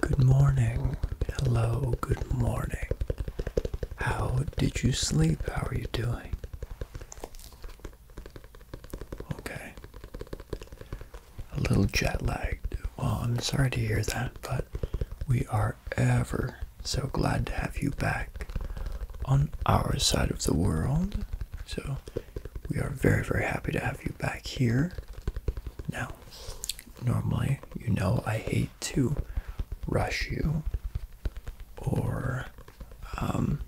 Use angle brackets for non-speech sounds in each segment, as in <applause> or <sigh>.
Good morning. Hello, good morning. How did you sleep? How are you doing? Okay. A little jet lagged. Well, I'm sorry to hear that, but we are ever so glad to have you back on our side of the world. So, we are very, very happy to have you back here. Now, Normally, you know, I hate to rush you or, um,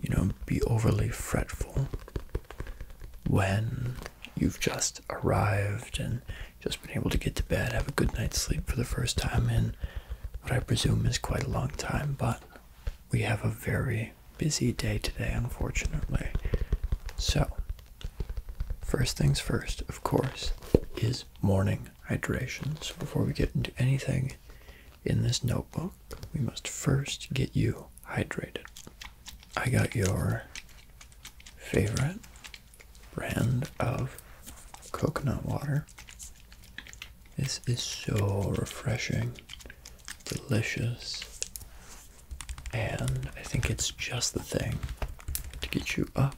you know, be overly fretful when you've just arrived and just been able to get to bed, have a good night's sleep for the first time in what I presume is quite a long time, but we have a very busy day today, unfortunately. So, first things first, of course, is morning hydration. So, before we get into anything in this notebook, we must first get you hydrated. I got your favorite brand of coconut water. This is so refreshing delicious, and I think it's just the thing to get you up,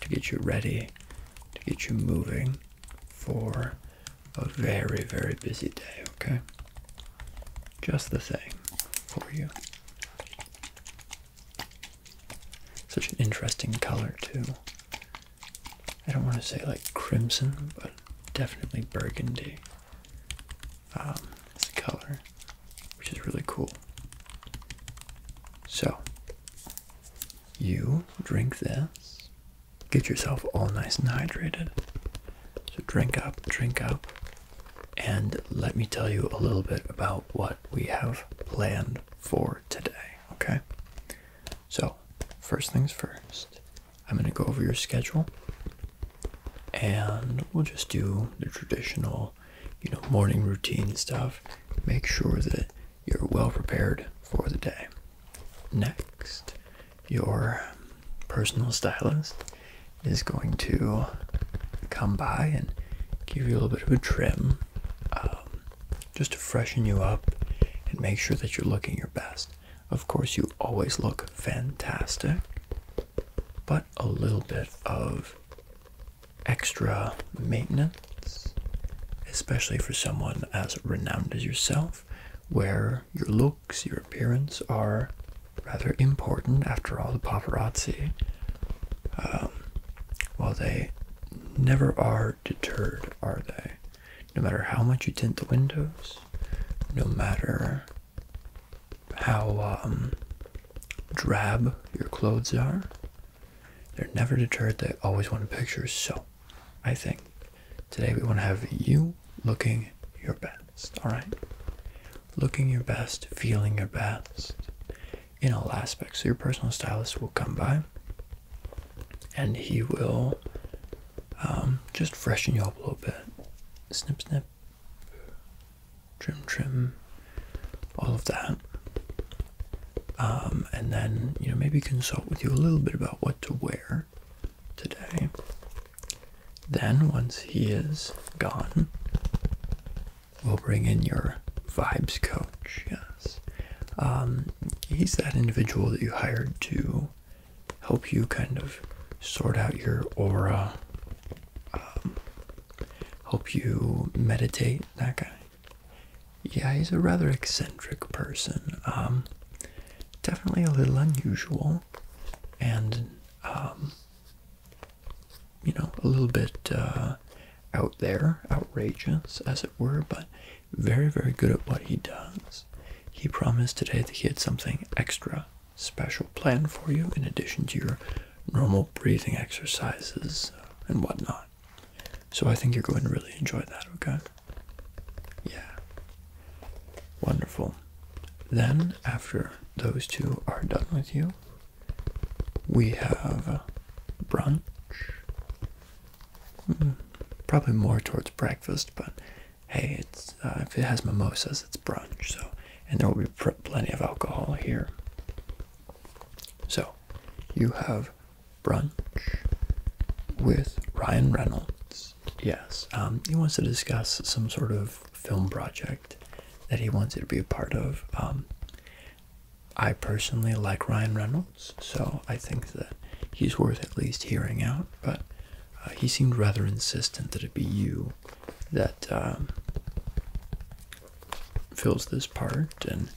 to get you ready, to get you moving for a very, very busy day, okay? Just the thing for you. Such an interesting color, too. I don't want to say like crimson, but definitely burgundy as um, a color, which is really cool. So, you drink this, get yourself all nice and hydrated. So, drink up, drink up, and let me tell you a little bit about what we have planned for today, okay? So, first things first, I'm going to go over your schedule and we'll just do the traditional, you know, morning routine stuff. Make sure that you're well prepared for the day. Next, your personal stylist is going to come by and give you a little bit of a trim um, just to freshen you up and make sure that you're looking your best. Of course, you always look fantastic, but a little bit of extra maintenance, especially for someone as renowned as yourself, where your looks, your appearance are rather important. After all, the paparazzi, um, well, they never are deterred, are they? No matter how much you tint the windows, no matter how um, drab your clothes are. They're never deterred. They always want pictures. So, I think today we want to have you looking your best. All right, looking your best, feeling your best in all aspects. your personal stylist will come by, and he will um, just freshen you up a little bit. Snip, snip trim, trim, all of that. Um, and then, you know, maybe consult with you a little bit about what to wear today. Then, once he is gone, we'll bring in your vibes coach. Yes. Um, he's that individual that you hired to help you kind of sort out your aura, um, help you meditate. That guy. Yeah, he's a rather eccentric person. Um, definitely a little unusual, and um, you know, a little bit uh, out there, outrageous, as it were. But very, very good at what he does. He promised today that he had something extra special plan for you in addition to your normal breathing exercises uh, and whatnot. So I think you're going to really enjoy that, okay? Yeah. Wonderful. Then, after those two are done with you, we have uh, brunch. Hmm, probably more towards breakfast, but hey, it's uh, if it has mimosas, it's brunch. So, and there will be plenty of alcohol here. So, you have brunch with Ryan Reynolds. Yes, um, he wants to discuss some sort of film project that he wants you to be a part of. Um, I personally like Ryan Reynolds, so I think that he's worth at least hearing out. But uh, he seemed rather insistent that it be you that um, fills this part and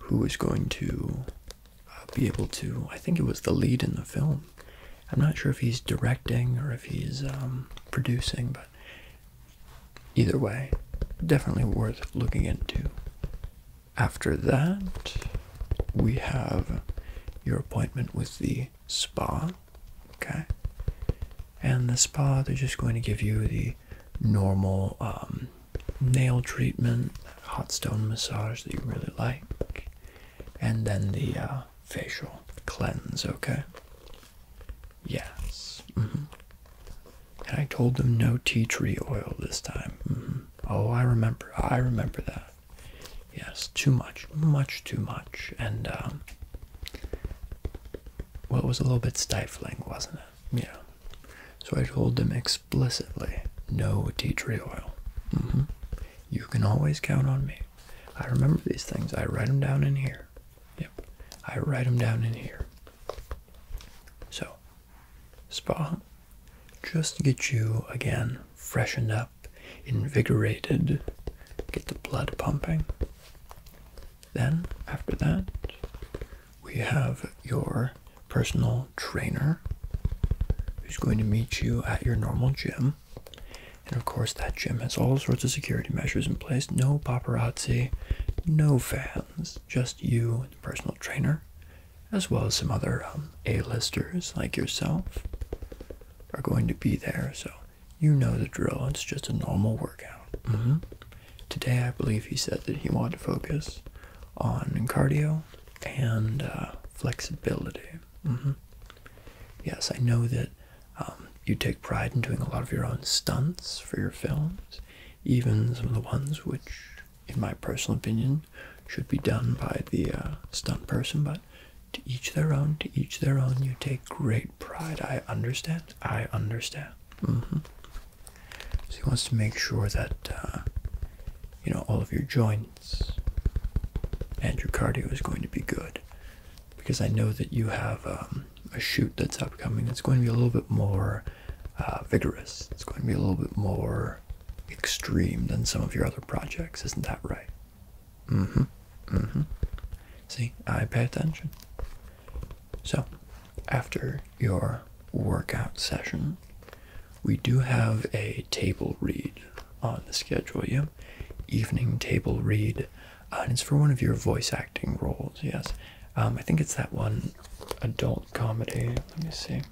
who is going to uh, be able to. I think it was the lead in the film. I'm not sure if he's directing or if he's um, producing, but either way, definitely worth looking into. After that, we have your appointment with the spa. Okay, and the spa they're just going to give you the normal um, nail treatment, hot stone massage that you really like, and then the uh, facial cleanse. Okay. Yes. Mm-hmm. And I told them no tea tree oil this time. Mm-hmm. Oh, I remember. I remember that. Yes, too much, much too much, and um, well, it was a little bit stifling, wasn't it? Yeah. So I told them explicitly no tea tree oil. Mm-hmm. You can always count on me. I remember these things. I write them down in here. Yep. I write them down in here. So, spa, just get you again freshened up, invigorated, get the blood pumping. Then, after that, we have your personal trainer who's going to meet you at your normal gym. And of course, that gym has all sorts of security measures in place no paparazzi, no fans, just you and the personal trainer, as well as some other um, A listers like yourself, are going to be there. So you know the drill. It's just a normal workout. Mm-hmm. Today, I believe he said that he wanted to focus on cardio and uh, flexibility. Mm-hmm. Yes, I know that um, you take pride in doing a lot of your own stunts for your films, even some of the ones which, in my personal opinion, should be done by the uh, stunt person, but to each their own, to each their own. You take great pride. I understand. I understand. Mm-hmm. So he wants to make sure that uh, you know all of your joints and your cardio is going to be good, because I know that you have um, a shoot that's upcoming It's going to be a little bit more uh, vigorous. It's going to be a little bit more extreme than some of your other projects. Isn't that right? Mm-hmm. Mm-hmm. See, I pay attention. So, after your workout session, we do have a table read on the schedule, yeah? Evening table read. and it's for one of your voice acting roles, yes. Um, I think it's that one adult comedy. Let me see.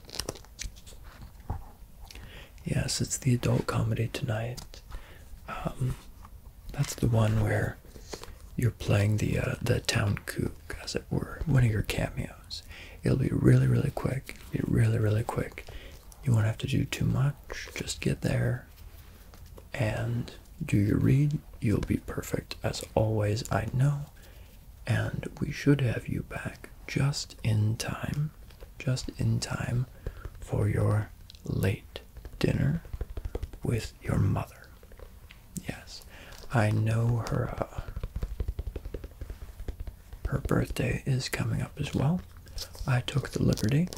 Yes, it's the adult comedy tonight. Um, that's the one where you're playing the uh, the town cook, as it were, one of your cameos. It'll be really, really quick. be really, really quick. You won't have to do too much. Just get there and do your read. You'll be perfect as always, I know. And we should have you back just in time. Just in time for your late dinner with your mother. Yes, I know her. Uh, her birthday is coming up as well. I took the liberty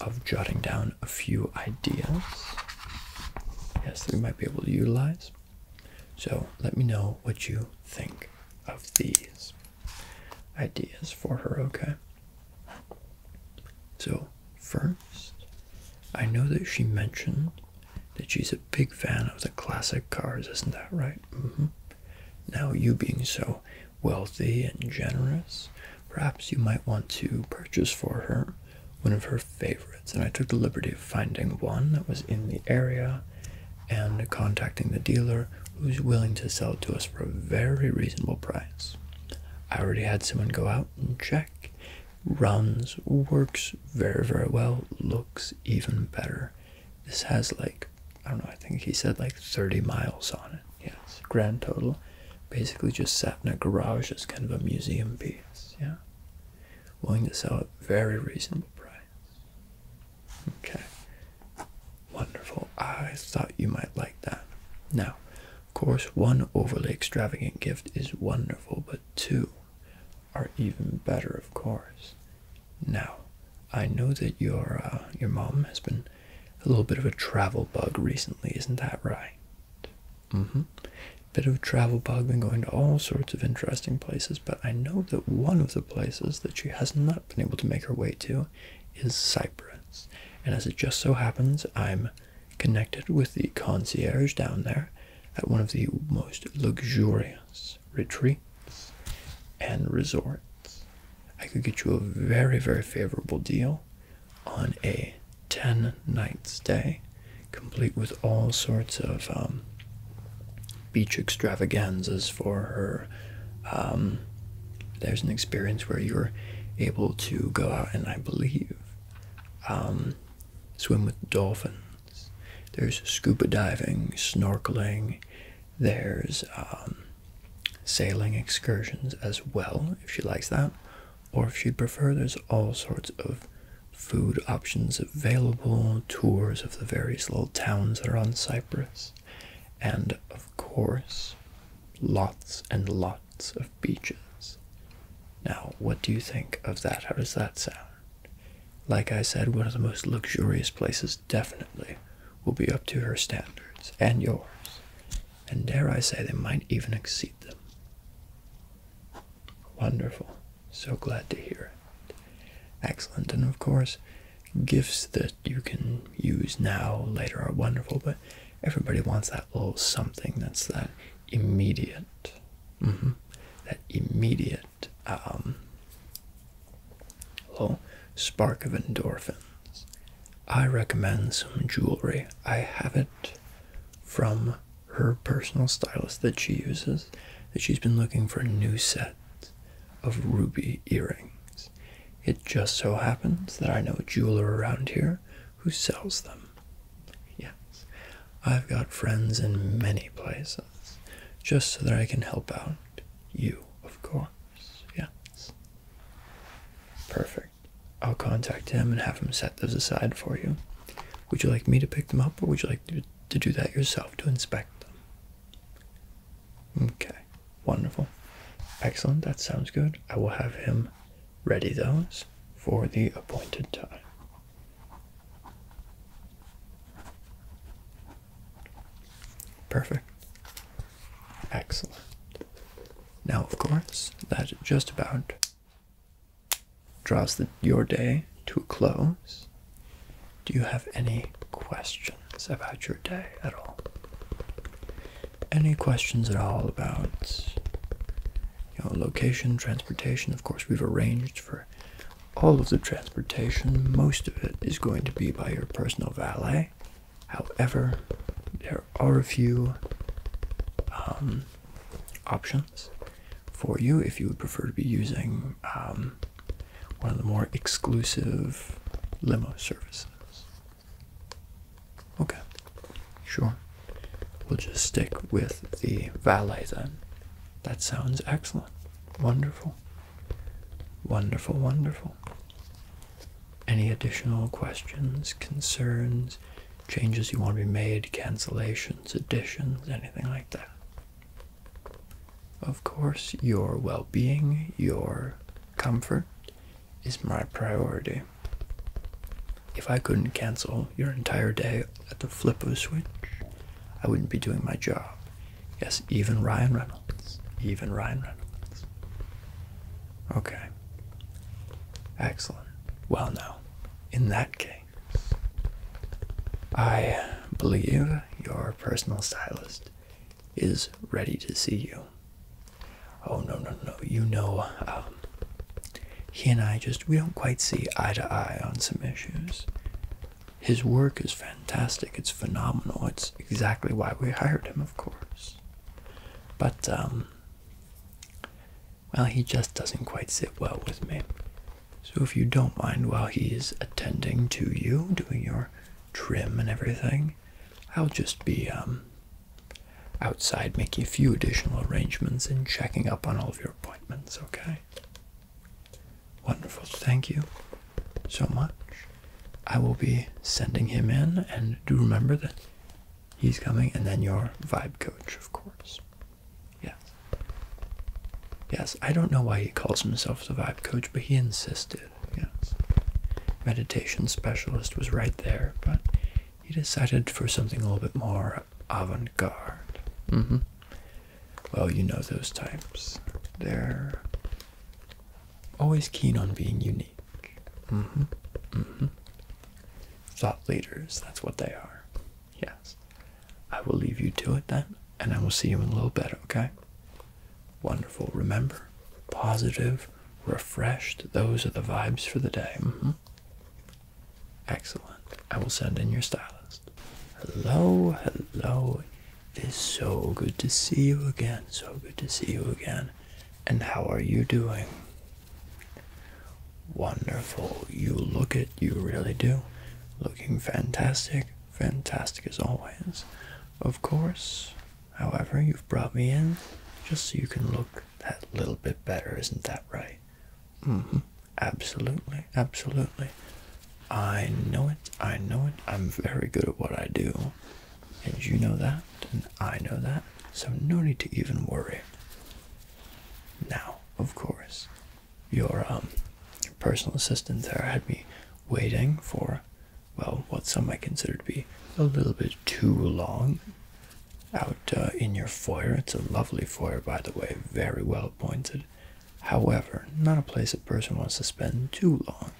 of jotting down a few ideas. Yes, we might be able to utilize. So let me know what you think of these ideas for her, okay? So, first, I know that she mentioned that she's a big fan of the classic cars, isn't that right? Mm-hmm. Now, you being so wealthy and generous, perhaps you might want to purchase for her one of her favorites. And I took the liberty of finding one that was in the area and contacting the dealer who's willing to sell to us for a very reasonable price. I already had someone go out and check. Runs, works very, very well, looks even better. This has like, I don't know, I think he said like 30 miles on it. Yes, grand total. Basically just sat in a garage as kind of a museum piece. Yeah. Willing to sell at very reasonable price. Okay. Wonderful. I thought you might like that. Now, of course, one overly extravagant gift is wonderful, but two are even better, of course. Now, I know that your uh, your mom has been a little bit of a travel bug recently, isn't that right? Mm-hmm. Bit of a travel bug, been going to all sorts of interesting places, but I know that one of the places that she has not been able to make her way to is Cyprus. And as it just so happens, I'm connected with the concierge down there at one of the most luxurious retreats and resorts. I could get you a very, very favorable deal on a 10 night stay, complete with all sorts of um, beach extravaganzas for her um, there's an experience where you're able to go out and I believe um, swim with dolphins. There's scuba diving, snorkeling. There's um, sailing excursions as well, if she likes that, or if she'd prefer. There's all sorts of food options available, tours of the various little towns that are on Cyprus, and of course, Lots and lots of beaches. Now, what do you think of that? How does that sound? Like I said, one of the most luxurious places definitely will be up to her standards and yours. And dare I say, they might even exceed them. Wonderful. So glad to hear it. Excellent. And of course, gifts that you can use now, later are wonderful, but Everybody wants that little something that's that immediate, mm-hmm. that immediate um, little spark of endorphins. I recommend some jewelry. I have it from her personal stylist that she uses, that she's been looking for a new set of ruby earrings. It just so happens that I know a jeweler around here who sells them. Yes, I've got friends in many places, just so that I can help out you, of course. Yes. Perfect. I'll contact him and have him set those aside for you. Would you like me to pick them up, or would you like to, to do that yourself to inspect them? Okay, wonderful. Excellent, that sounds good. I will have him ready those for the appointed time. Perfect. Excellent. Now, of course, that just about draws your day to a close. Do you have any questions about your day at all? any questions at all about you know, location, transportation. Of course, we've arranged for all of the transportation. Most of it is going to be by your personal valet. However, there are a few um, options for you if you would prefer to be using um, one of the more exclusive limo services. Okay, sure. We'll just stick with the valet then. That sounds excellent. Wonderful. Wonderful, wonderful. Any additional questions, concerns, changes you want to be made, cancellations, additions, anything like that? Of course, your well being, your comfort, is my priority. If I couldn't cancel your entire day at the flip of a switch, I wouldn't be doing my job. Yes, even Ryan Reynolds. Even Ryan Reynolds. Okay. Excellent. Well, now, in that case, I believe your personal stylist is ready to see you. Oh no no no! You know, um, he and I just we don't quite see eye to eye on some issues. His work is fantastic. It's phenomenal. It's exactly why we hired him, of course. But um, well, he just doesn't quite sit well with me. So if you don't mind, while he's attending to you, doing your trim and everything, I'll just be um outside making a few additional arrangements and checking up on all of your appointments, okay? Wonderful, thank you so much. I will be sending him in, and do remember that he's coming, and then your vibe coach, of course. Yes. Yes, I don't know why he calls himself the vibe coach, but he insisted, yes. Meditation specialist was right there, but he decided for something a little bit more avant-garde. Mm-hmm. Well, you know those types. They're always keen on being unique. Mm-hmm. Mm-hmm. Thought leaders, that's what they are. Yes. I will leave you to it then, and I will see you in a little bit, okay? Wonderful. Remember, positive, refreshed, those are the vibes for the day. Excellent. I will send in your stylist. Hello, hello. It is so good to see you again. So good to see you again. And how are you doing? Wonderful. You look it, you really do. Looking fantastic, fantastic as always. Of course, however, you've brought me in just so you can look that little bit better, isn't that right? Mm -hmm. Absolutely, absolutely. I know it, I know it. I'm very good at what I do, and you know that, and I know that, so no need to even worry. Now, of course, your um your personal assistant there had me waiting for well what some might consider to be a little bit too long out uh, in your foyer. It's a lovely foyer, by the way, very well appointed. However, not a place a person wants to spend too long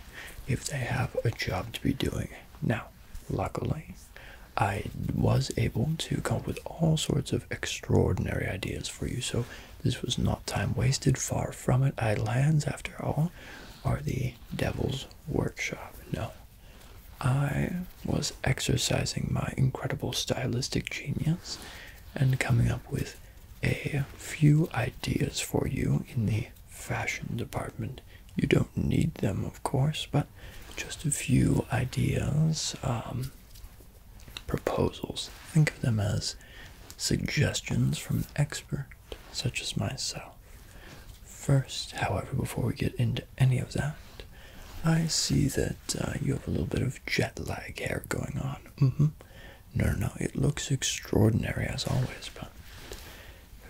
if they have a job to be doing. Now, luckily, I was able to come up with all sorts of extraordinary ideas for you, so this was not time wasted. Far from it. Idle hands, after all, are the devil's workshop. No, I was exercising my incredible stylistic genius and coming up with a few ideas for you in the fashion department. You don't need them, of course, but just a few ideas, um, proposals. Think of them as suggestions from an expert such as myself. First, however, before we get into any of that, I see that uh, you have a little bit of jet lag hair going on. Mm-hmm. No, no, it looks extraordinary as always, but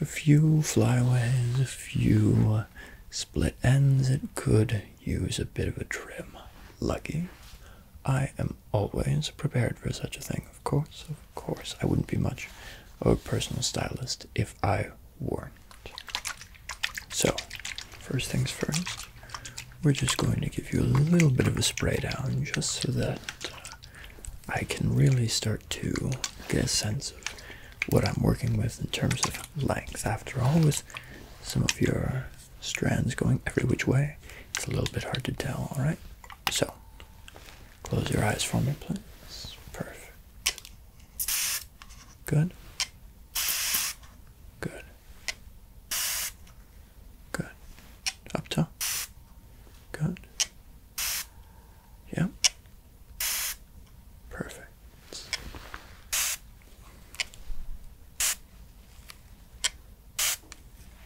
a few flyaways, a few uh, split ends, it could use a bit of a trim. Lucky, I am always prepared for such a thing, of course, of course. I wouldn't be much of a personal stylist if I were not so, first things first, we're just going to give you a little bit of a spray down just so that I can really start to get a sense of what I'm working with in terms of length. After all, with some of your strands going every which way, it's a little bit hard to tell, alright? So, close your eyes for me, please. Perfect. Good. Good. Good. Up top. Good. Yep. Perfect.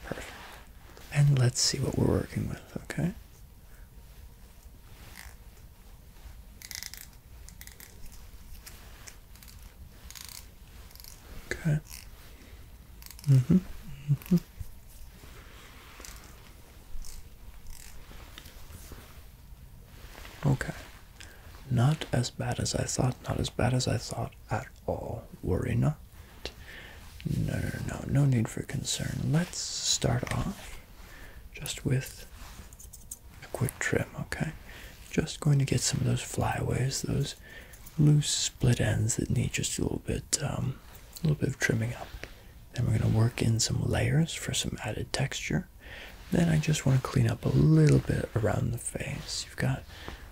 Perfect. And let's see what we're working with, okay? Okay. Mm-hmm. Mm-hmm. Okay. Not as bad as I thought, not as bad as I thought at all. Worry not. No, no, no, no need for concern. Let's start off just with a quick trim, okay? Just going to get some of those flyaways, those loose split ends that need just a little bit, um, a little bit of trimming up. Then we're going to work in some layers for some added texture. Then I just want to clean up a little bit around the face. You've got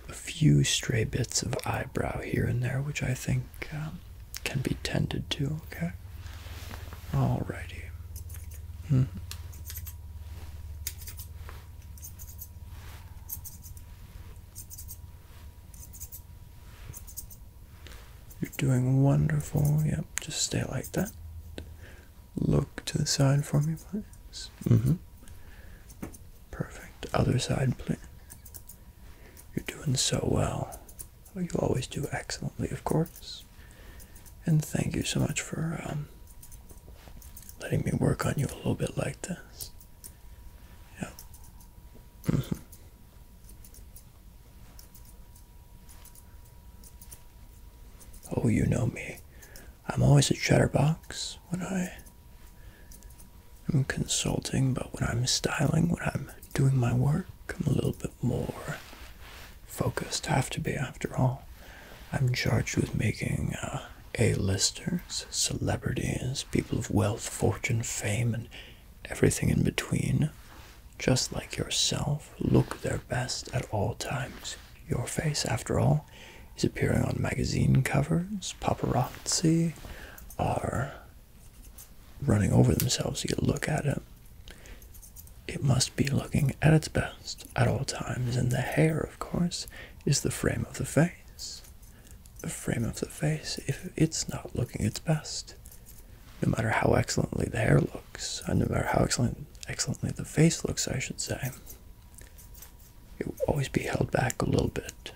a few stray bits of eyebrow here and there, which I think um, can be tended to, okay? Alrighty. Hmm. You're doing wonderful. Yep, just stay like that. Look to the side for me, please. hmm Perfect. Other side, please. You're doing so well. Oh, you always do excellently, of course. And thank you so much for um, letting me work on you a little bit like this. Yeah. Mm-hmm. Oh, you know me. I'm always a chatterbox when I am consulting, but when I'm styling, when I'm doing my work, Come a little bit more focused. I have to be, after all. I'm charged with making uh, A-listers, celebrities, people of wealth, fortune, fame, and everything in between, just like yourself, look their best at all times. Your face, after all, is appearing on magazine covers. Paparazzi are running over themselves. to look at it. It must be looking at its best at all times, and the hair, of course, is the frame of the face. The frame of the face, if it's not looking its best, no matter how excellently the hair looks, and no matter how excellently the face looks, I should say, it will always be held back a little bit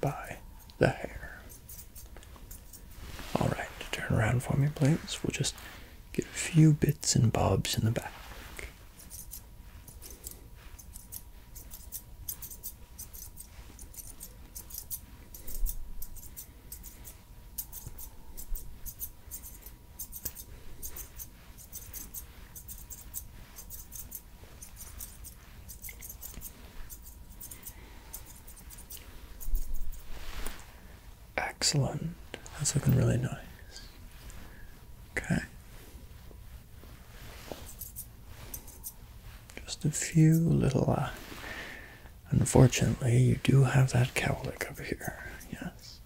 by the hair. Alright, turn around for me, please. We'll just get a few bits and bobs in the back. Excellent. That's looking really nice. Okay. Just a few little, uh, unfortunately, you do have that cowlick over here. Yes.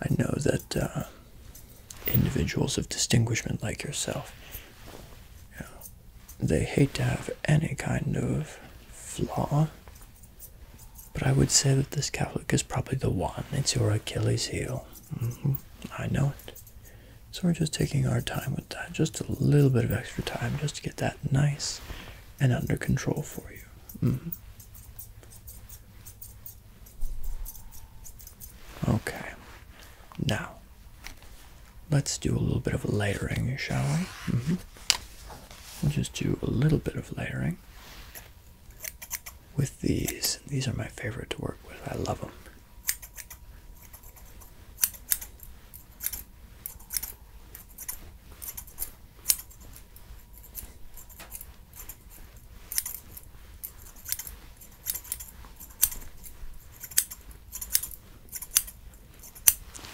I know that uh, individuals of distinguishment like yourself, you they hate to have any kind of flaw but I would say that this Cowlick is probably the one. It's your Achilles heel. Mm-hmm. I know it. So we're just taking our time with that. Just a little bit of extra time just to get that nice and under control for you. Mm-hmm. Okay. Now, let's do a little bit of layering, shall we? Mm-hmm. We'll just do a little bit of layering with these. These are my favorite to work with. I love them.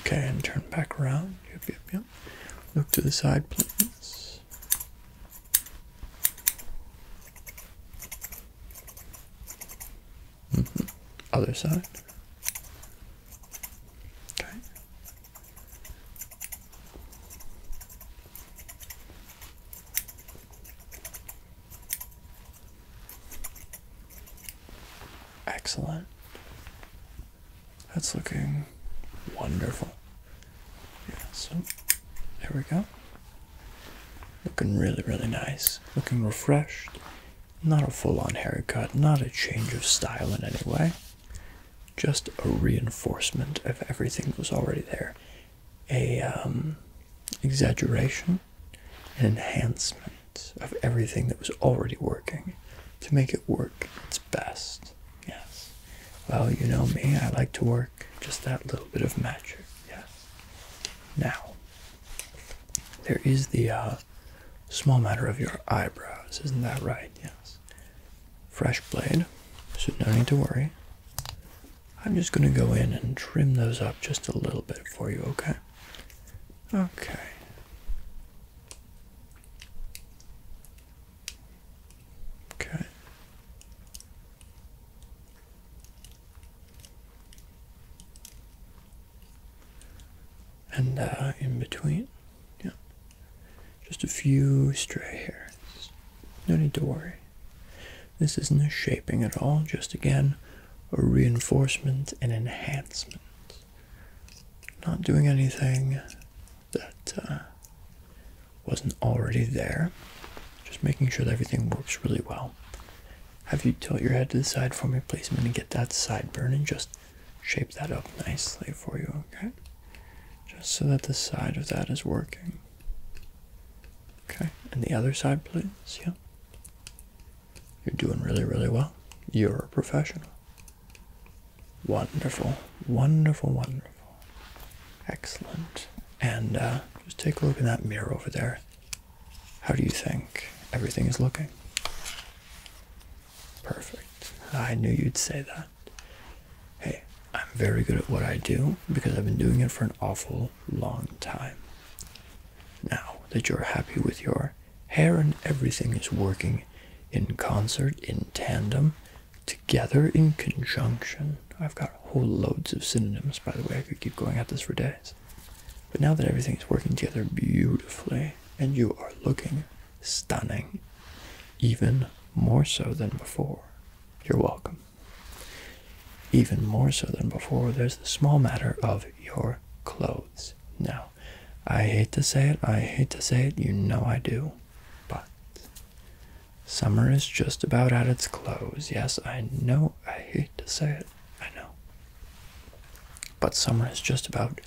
Okay, and turn back around. Yep, yep, Look to the side, please. Mm-hmm. Other side. Okay. Excellent. That's looking wonderful. Yeah, so there we go. Looking really, really nice. Looking refreshed. Not a full on haircut, not a change of style in any way. Just a reinforcement of everything that was already there. A um, exaggeration, an enhancement of everything that was already working to make it work its best. Yes. Well, you know me, I like to work just that little bit of magic. Yes. Now, there is the uh, small matter of your eyebrows, isn't that right? Yes. Fresh blade, so no need to worry. I'm just going to go in and trim those up just a little bit for you, okay? Okay. Okay. And uh, in between, yeah, just a few stray hairs. No need to worry. This isn't a shaping at all, just again, a reinforcement and enhancement. Not doing anything that uh, wasn't already there. Just making sure that everything works really well. Have you tilt your head to the side for me, please? I'm get that sideburn and just shape that up nicely for you, okay? Just so that the side of that is working. Okay, and the other side, please. Yeah. You're doing really, really well. You're a professional. Wonderful, wonderful, wonderful. Excellent. And uh, just take a look in that mirror over there. How do you think everything is looking? Perfect. I knew you'd say that. Hey, I'm very good at what I do because I've been doing it for an awful long time. Now that you're happy with your hair and everything is working in concert, in tandem, together in conjunction. I've got whole loads of synonyms, by the way. I could keep going at this for days. But now that everything's working together beautifully and you are looking stunning, even more so than before, you're welcome. Even more so than before, there's the small matter of your clothes. Now, I hate to say it, I hate to say it, you know I do. But summer is just about at its close. Yes, I know, I hate to say it, I know. But summer has just about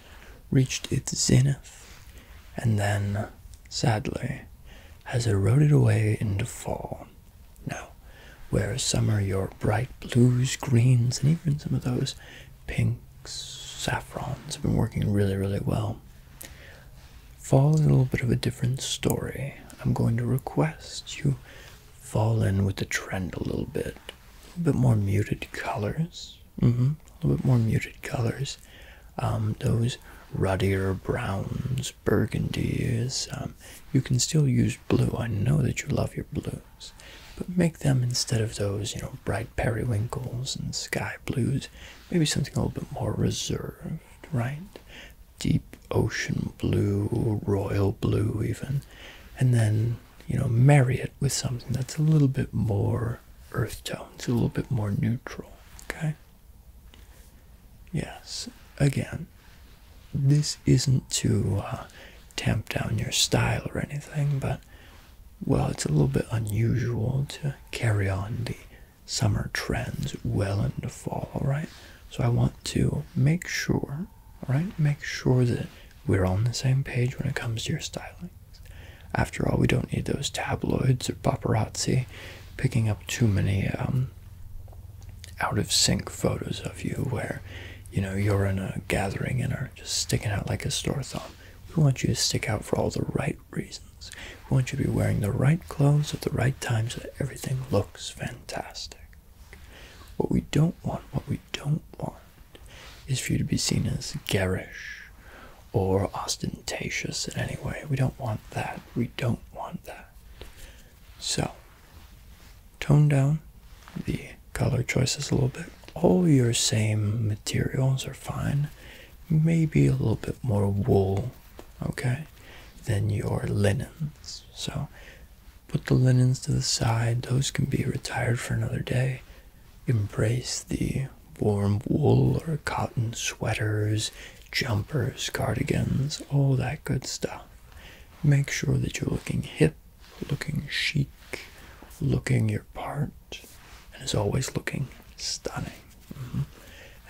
reached its zenith, and then, sadly, has eroded away into fall. Now, where summer your bright blues, greens, and even some of those pinks, saffrons have been working really, really well. Fall is a little bit of a different story. I'm going to request you fall in with the trend a little bit. A little bit more muted colors. Mm -hmm. A little bit more muted colors. Um, those ruddier browns, burgundies. Um, you can still use blue. I know that you love your blues, but make them instead of those, you know, bright periwinkles and sky blues maybe something a little bit more reserved, right? Deep ocean blue, royal blue, even, and then you know, marry it with something that's a little bit more earth tones, a little bit more neutral, okay? Yes, again, this isn't to uh, tamp down your style or anything, but well, it's a little bit unusual to carry on the summer trends well into fall, all right? So I want to make sure, right? make sure that we're on the same page when it comes to your styling. After all, we don't need those tabloids or paparazzi picking up too many um, out of sync photos of you where, you know, you're in a gathering and are just sticking out like a sore thumb. We want you to stick out for all the right reasons. We want you to be wearing the right clothes at the right times, so everything looks fantastic. What we don't want, what we don't want, is for you to be seen as garish or ostentatious in any way. We don't want that. We don't want that. So, tone down the color choices a little bit. All your same materials are fine maybe a little bit more wool, okay, than your linens. So put the linens to the side, those can be retired for another day. Embrace the warm wool or cotton sweaters, jumpers, cardigans, all that good stuff. Make sure that you're looking hip, looking chic, looking your part, and is always looking stunning. Mm-hmm.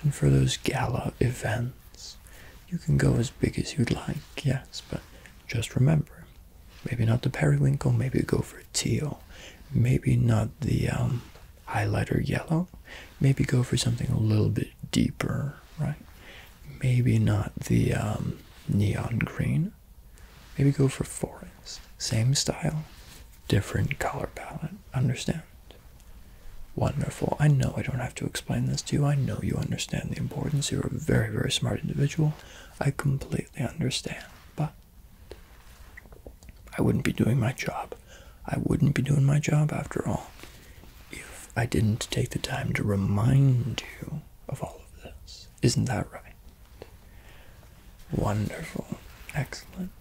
And for those gala events, you can go as big as you'd like, yes, but just remember maybe not the periwinkle, maybe go for teal, maybe not the um, highlighter yellow, maybe go for something a little bit deeper, right? Maybe not the um, neon green, maybe go for forest. Same style, different color palette. Understand? Wonderful. I know I don't have to explain this to you. I know you understand the importance. You're a very, very smart individual. I completely understand. But I wouldn't be doing my job. I wouldn't be doing my job after all if I didn't take the time to remind you of all of this. Isn't that right? Wonderful. Excellent.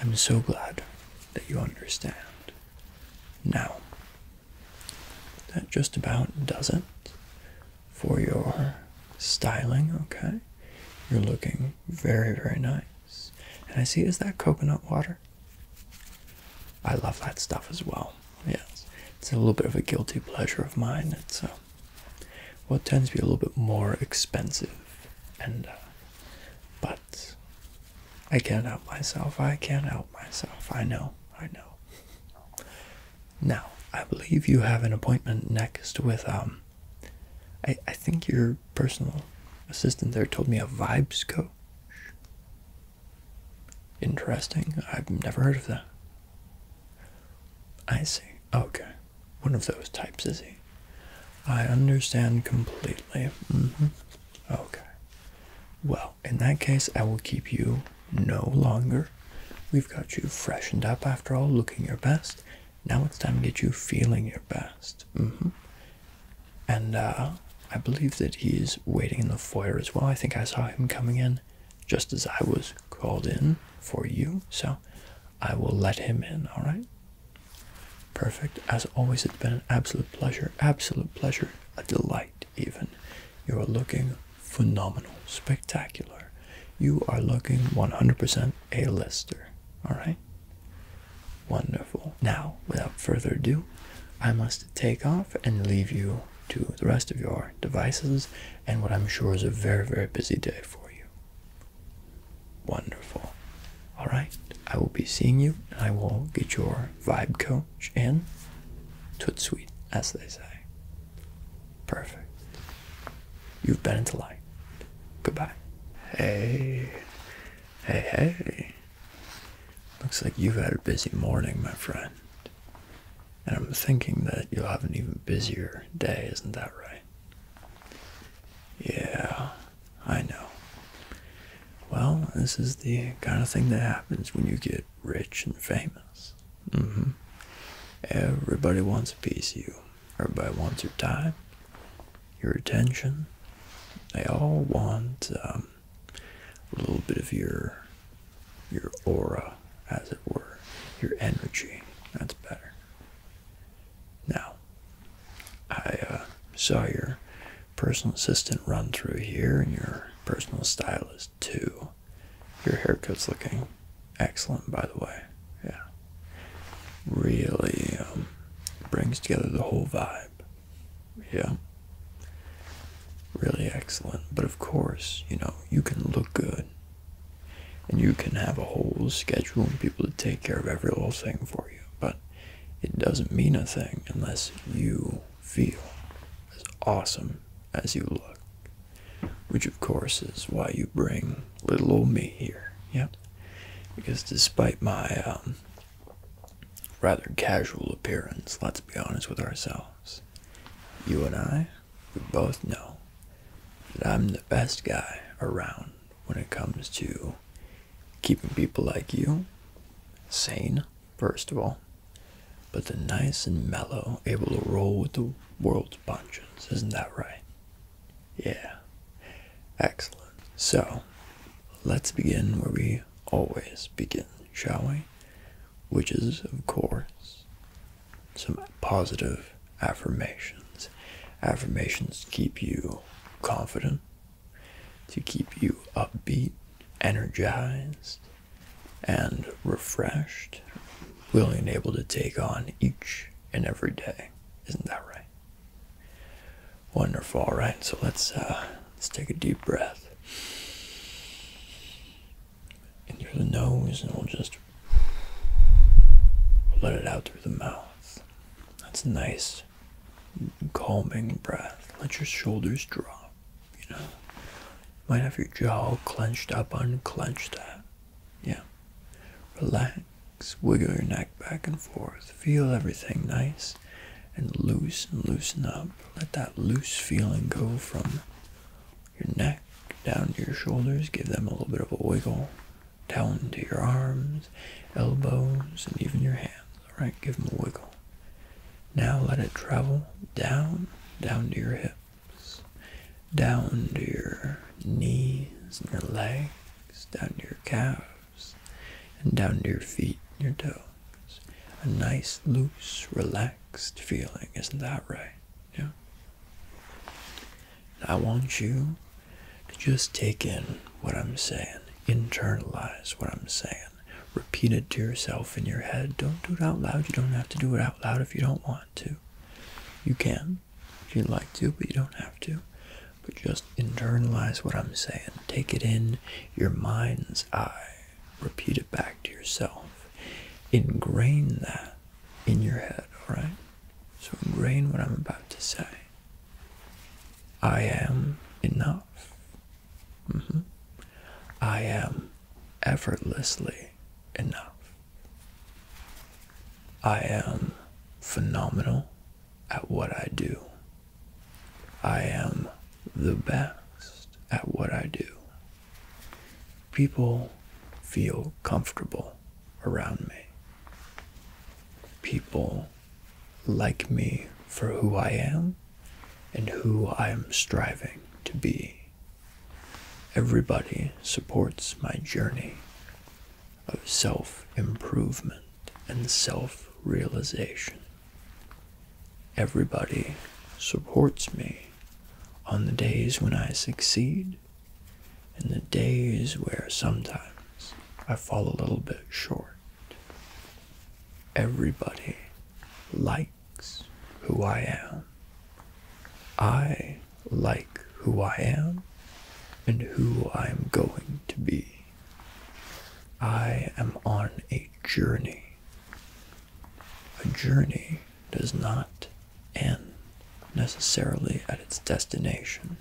I'm so glad that you understand. Now, that just about does it for your styling, okay? You're looking very, very nice. And I see, is that coconut water? I love that stuff as well. Yes, it's a little bit of a guilty pleasure of mine. It's uh, what tends to be a little bit more expensive, and uh, but I can't help myself. I can't help myself. I know. I know. Now, I believe you have an appointment next with um. I I think your personal assistant there told me a vibes coach. Interesting. I've never heard of that. I see. Okay. One of those types, is he? I understand completely. Mm-hmm. Okay. Well, in that case, I will keep you no longer. We've got you freshened up after all, looking your best. Now it's time to get you feeling your best. Mm-hmm. And uh, I believe that he is waiting in the foyer as well. I think I saw him coming in just as I was called in for you. So I will let him in. All right. Perfect. As always, it's been an absolute pleasure. Absolute pleasure. A delight, even. You are looking phenomenal, spectacular. You are looking 100% a lister. All right. Wonderful. Now, without further ado, I must take off and leave you to the rest of your devices and what I'm sure is a very, very busy day for you. Wonderful. All right, I will be seeing you and I will get your vibe coach in. Toot sweet, as they say. Perfect. You've been into light. Goodbye. Hey, hey, hey. Looks like you've had a busy morning, my friend. And I'm thinking that you'll have an even busier day, isn't that right? Yeah, I know. Well, this is the kind of thing that happens when you get rich and famous. Mm-hmm. Everybody wants a piece of you. Everybody wants your time, your attention. They all want um, a little bit of your your aura, as it were, your energy. That's better. Now, I uh, saw your personal assistant run through here and your personal stylist too. Your haircut's looking excellent, by the way. Yeah. Really um, brings together the whole vibe. Yeah. Really excellent. But of course, you know, you can look good and you can have a whole schedule and people to take care of every little thing for you but it doesn't mean a thing unless you feel as awesome as you look which of course is why you bring little old me here yep because despite my um, rather casual appearance let's be honest with ourselves you and i we both know that I'm the best guy around when it comes to keeping people like you sane, first of all, but the nice and mellow, able to roll with the world's punches. Isn't that right? Yeah. Excellent. So, let's begin where we always begin, shall we? Which is, of course, some positive affirmations. Affirmations keep you confident, to keep you upbeat, energized, and refreshed, willing and able to take on each and every day. Isn't that right? Wonderful. All right, so let's uh, let's take a deep breath in through the nose and we'll just let it out through the mouth. That's a nice, calming breath. Let your shoulders drop, you know. Might have your jaw clenched up, unclenched that. Yeah. Relax, wiggle your neck back and forth. Feel everything nice and loose and loosen up. Let that loose feeling go from your neck, down to your shoulders. Give them a little bit of a wiggle. Down to your arms, elbows, and even your hands. Alright, give them a wiggle. Now let it travel down, down to your hips, down to your knees and your legs, down to your calves, and down to your feet and your toes. A nice, loose, relaxed feeling. Isn't that right? Yeah. I want you to just take in what I'm saying, internalize what I'm saying, repeat it to yourself in your head. Don't do it out loud. You don't have to do it out loud if you don't want to. You can if you like to, but you don't have to. But just internalize what I'm saying. Take it in your mind's eye. Repeat it back to yourself. Ingrain that in your head, alright? So ingrain what I'm about to say. I am enough. Mm-hmm. I am effortlessly enough. I am phenomenal at what I do. I am the best at what I do. People feel comfortable around me. People like me for who I am and who I am striving to be. Everybody supports my journey of self improvement and self realization. Everybody supports me on the days when I succeed in the days where sometimes I fall a little bit short. Everybody likes who I am. I like who I am and who I am going to be. I am on a journey. A journey does not end necessarily at its destination.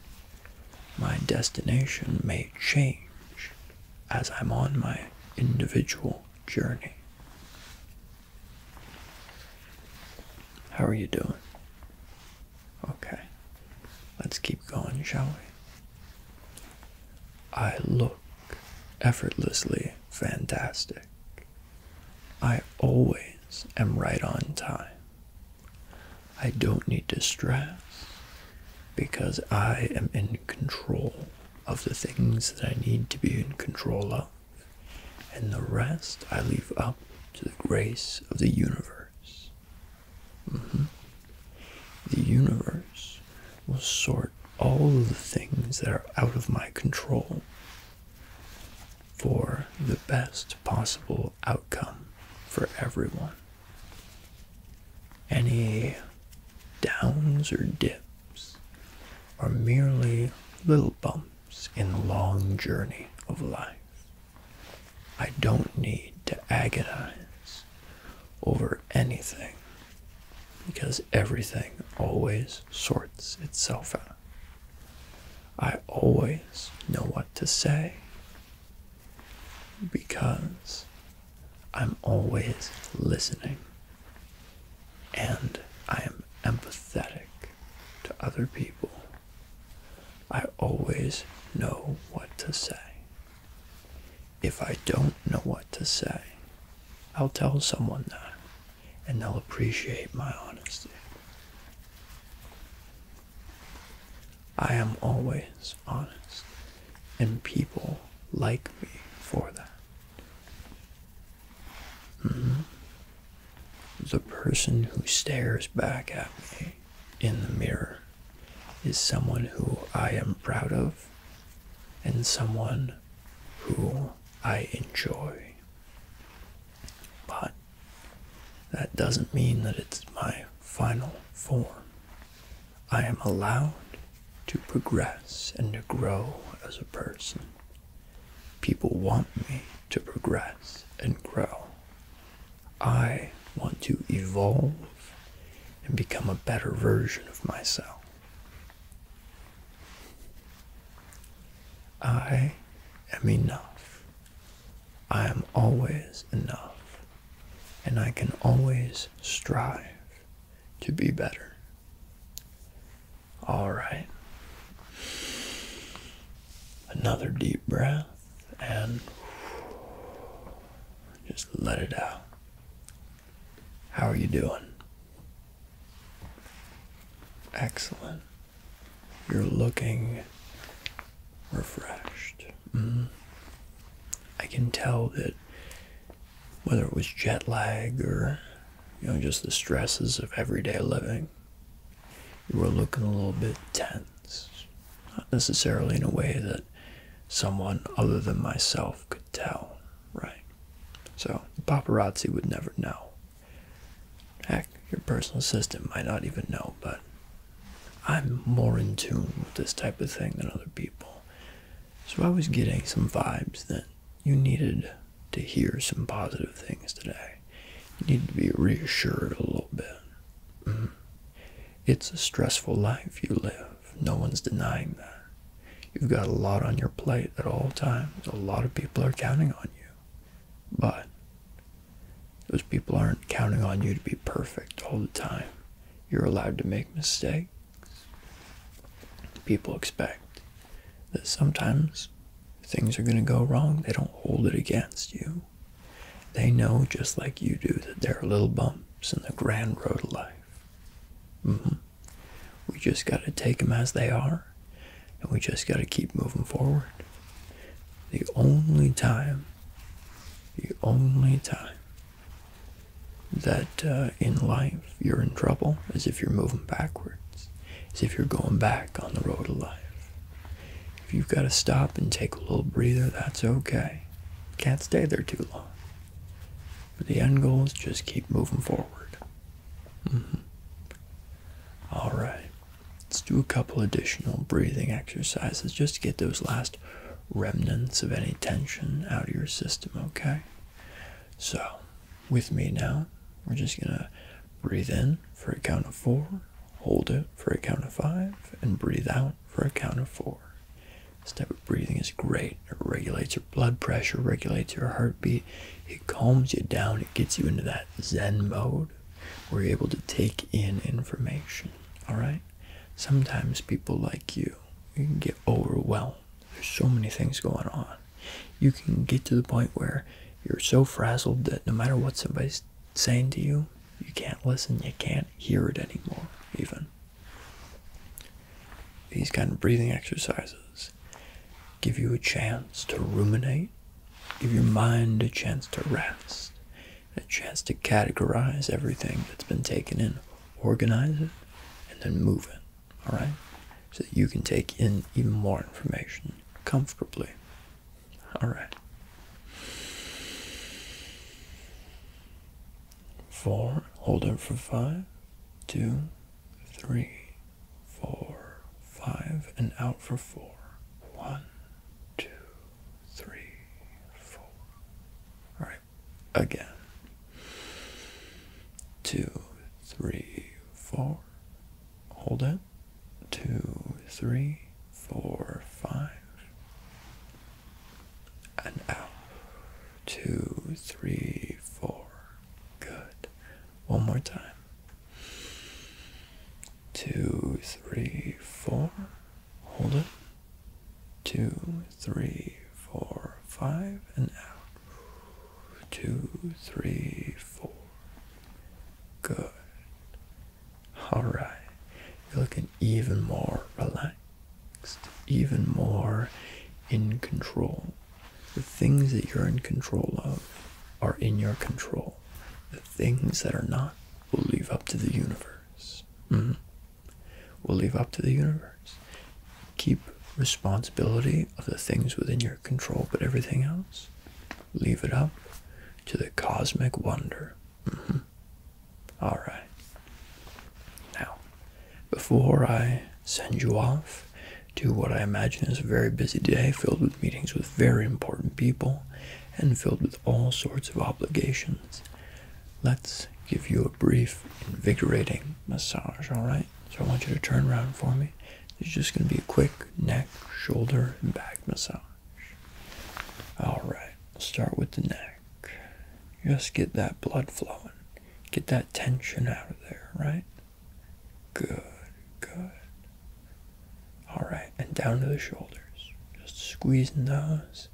My destination may change as I'm on my individual journey. How are you doing? Okay, let's keep going, shall we? I look effortlessly fantastic. I always am right on time. I don't need to stress because I am in control of the things that I need to be in control of, and the rest I leave up to the grace of the universe. Mm-hmm. The universe will sort all the things that are out of my control for the best possible outcome for everyone. Any downs or dips are merely little bumps in the long journey of life. I don't need to agonize over anything because everything always sorts itself out. I always know what to say because I'm always listening and I am empathetic to other people. I always know what to say. If I don't know what to say, I'll tell someone that and they'll appreciate my honesty. I am always honest, and people like me for that. Mm-hmm. The person who stares back at me in the mirror is someone who I am proud of and someone who I enjoy. But that doesn't mean that it's my final form. I am allowed to progress and to grow as a person. People want me to progress and grow. I want to evolve and become a better version of myself. I am enough. I am always enough, and I can always strive to be better. All right. Another deep breath and just let it out. How are you doing? Excellent. You're looking refreshed. Mm-hmm. I can tell that whether it was jet lag or you know just the stresses of everyday living, you were looking a little bit tense. Not necessarily in a way that someone other than myself could tell, right? So the paparazzi would never know. Heck, your personal assistant might not even know, but I'm more in tune with this type of thing than other people. So I was getting some vibes that you needed to hear some positive things today. You need to be reassured a little bit. Mm-hmm. It's a stressful life you live. No one's denying that. You've got a lot on your plate at all times. A lot of people are counting on you. But those people aren't counting on you to be perfect all the time. You're allowed to make mistakes. People expect that sometimes things are going to go wrong. They don't hold it against you. They know, just like you do, that there are little bumps in the grand road of life. Mm-hmm. We just got to take them as they are and we just got to keep moving forward. The only time, the only time that uh, in life you're in trouble is if you're moving backwards, is if you're going back on the road of life. If you've got to stop and take a little breather, that's okay. Can't stay there too long. But the end goal is just keep moving forward. Mm-hmm. All right. Let's do a couple additional breathing exercises just to get those last remnants of any tension out of your system, okay? So, with me now, we're just going to breathe in for a count of four, hold it for a count of five, and breathe out for a count of four. This type of breathing is great. It regulates your blood pressure, regulates your heartbeat, it calms you down, it gets you into that zen mode we're able to take in information. All right. Sometimes people like you, you can get overwhelmed. There's so many things going on. You can get to the point where you're so frazzled that no matter what somebody's saying to you, you can't listen. You can't hear it anymore. Even these kind of breathing exercises give you a chance to ruminate Give your mind a chance to rest, a chance to categorize everything that's been taken in, organize it, and then move it, all right? So that you can take in even more information comfortably. All right. Four, hold it for five, two, three, four, five, and out for four. One, two, three, four. All right, again. Two, three, four. Hold it. Two, three, four, five. And out. Two, three, four. Good. One more time. Two, three, four. Hold it. Two, three, four, five, and out. Two, three, four. Good. Alright. You're looking even more relaxed, even more in control. The things that you're in control of are in your control the things that are not will leave up to the universe. Mm-hmm. We'll leave up to the universe. Keep responsibility of the things within your control, but everything else, leave it up to the cosmic wonder. Mm-hmm. All right. Now, before I send you off to what I imagine is a very busy day filled with meetings with very important people and filled with all sorts of obligations. Let's give you a brief, invigorating massage, alright? So I want you to turn around for me. It's just going to be a quick neck, shoulder, and back massage. Alright, start with the neck. Just get that blood flowing. Get that tension out of there, right? Good, good. All right, and down to the shoulders. Just squeezing those,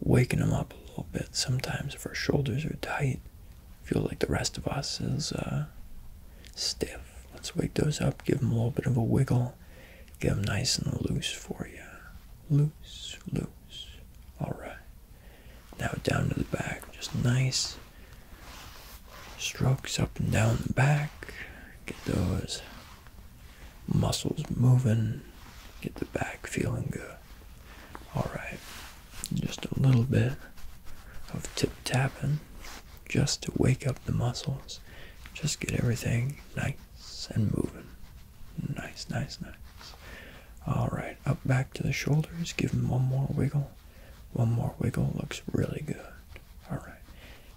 waking them up a little bit. Sometimes if our shoulders are tight, feel like the rest of us is uh, stiff. Let's wake those up, give them a little bit of a wiggle, get them nice and loose for you. Loose, loose. All right. Now down to the back, just nice strokes up and down the back. Get those muscles moving. Get the back feeling good. Alright, just a little bit of tip tapping just to wake up the muscles. Just get everything nice and moving. Nice, nice, nice. Alright, up back to the shoulders. Give them one more wiggle. One more wiggle looks really good. Alright,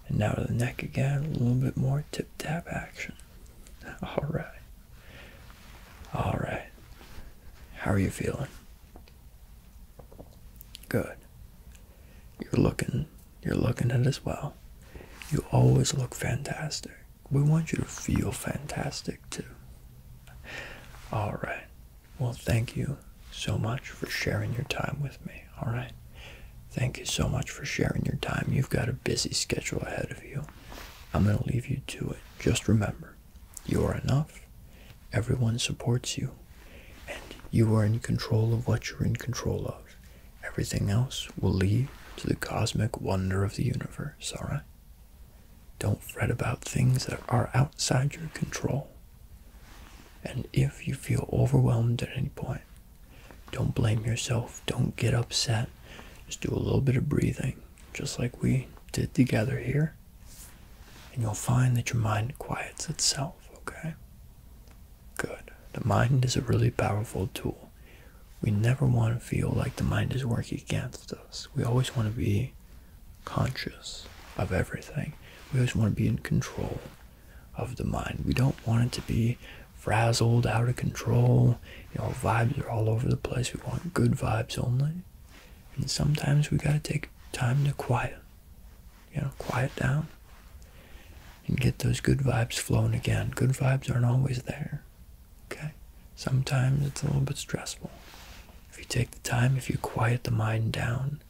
and now to the neck again, a little bit more tip tap action. <laughs> All right. All right. How are you feeling? Good. You're looking you're looking at as well. You always look fantastic. We want you to feel fantastic too. All right. Well, thank you so much for sharing your time with me. All right. Thank you so much for sharing your time. You've got a busy schedule ahead of you. I'm going to leave you to it. Just remember, you are enough. Everyone supports you. And you are in control of what you're in control of. Everything else will lead to the cosmic wonder of the universe, all right? Don't fret about things that are outside your control. And if you feel overwhelmed at any point, don't blame yourself. Don't get upset. Just do a little bit of breathing, just like we did together here. And you'll find that your mind quiets itself, okay? Good. The mind is a really powerful tool. We never want to feel like the mind is working against us. We always want to be conscious of everything. We always want to be in control of the mind. We don't want it to be frazzled, out of control. You know, vibes are all over the place. We want good vibes only. And sometimes we gotta take time to quiet. You know, quiet down and get those good vibes flowing again. Good vibes aren't always there. Okay? Sometimes it's a little bit stressful. If you take the time, if you quiet the mind down,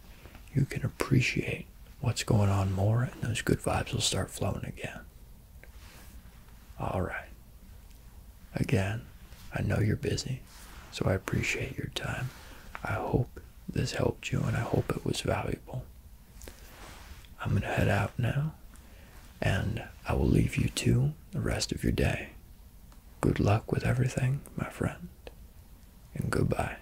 you can appreciate what's going on more, and those good vibes will start flowing again. All right. Again, I know you're busy, so I appreciate your time. I hope this helped you, and I hope it was valuable. I'm going to head out now, and I will leave you to the rest of your day. Good luck with everything, my friend, and goodbye.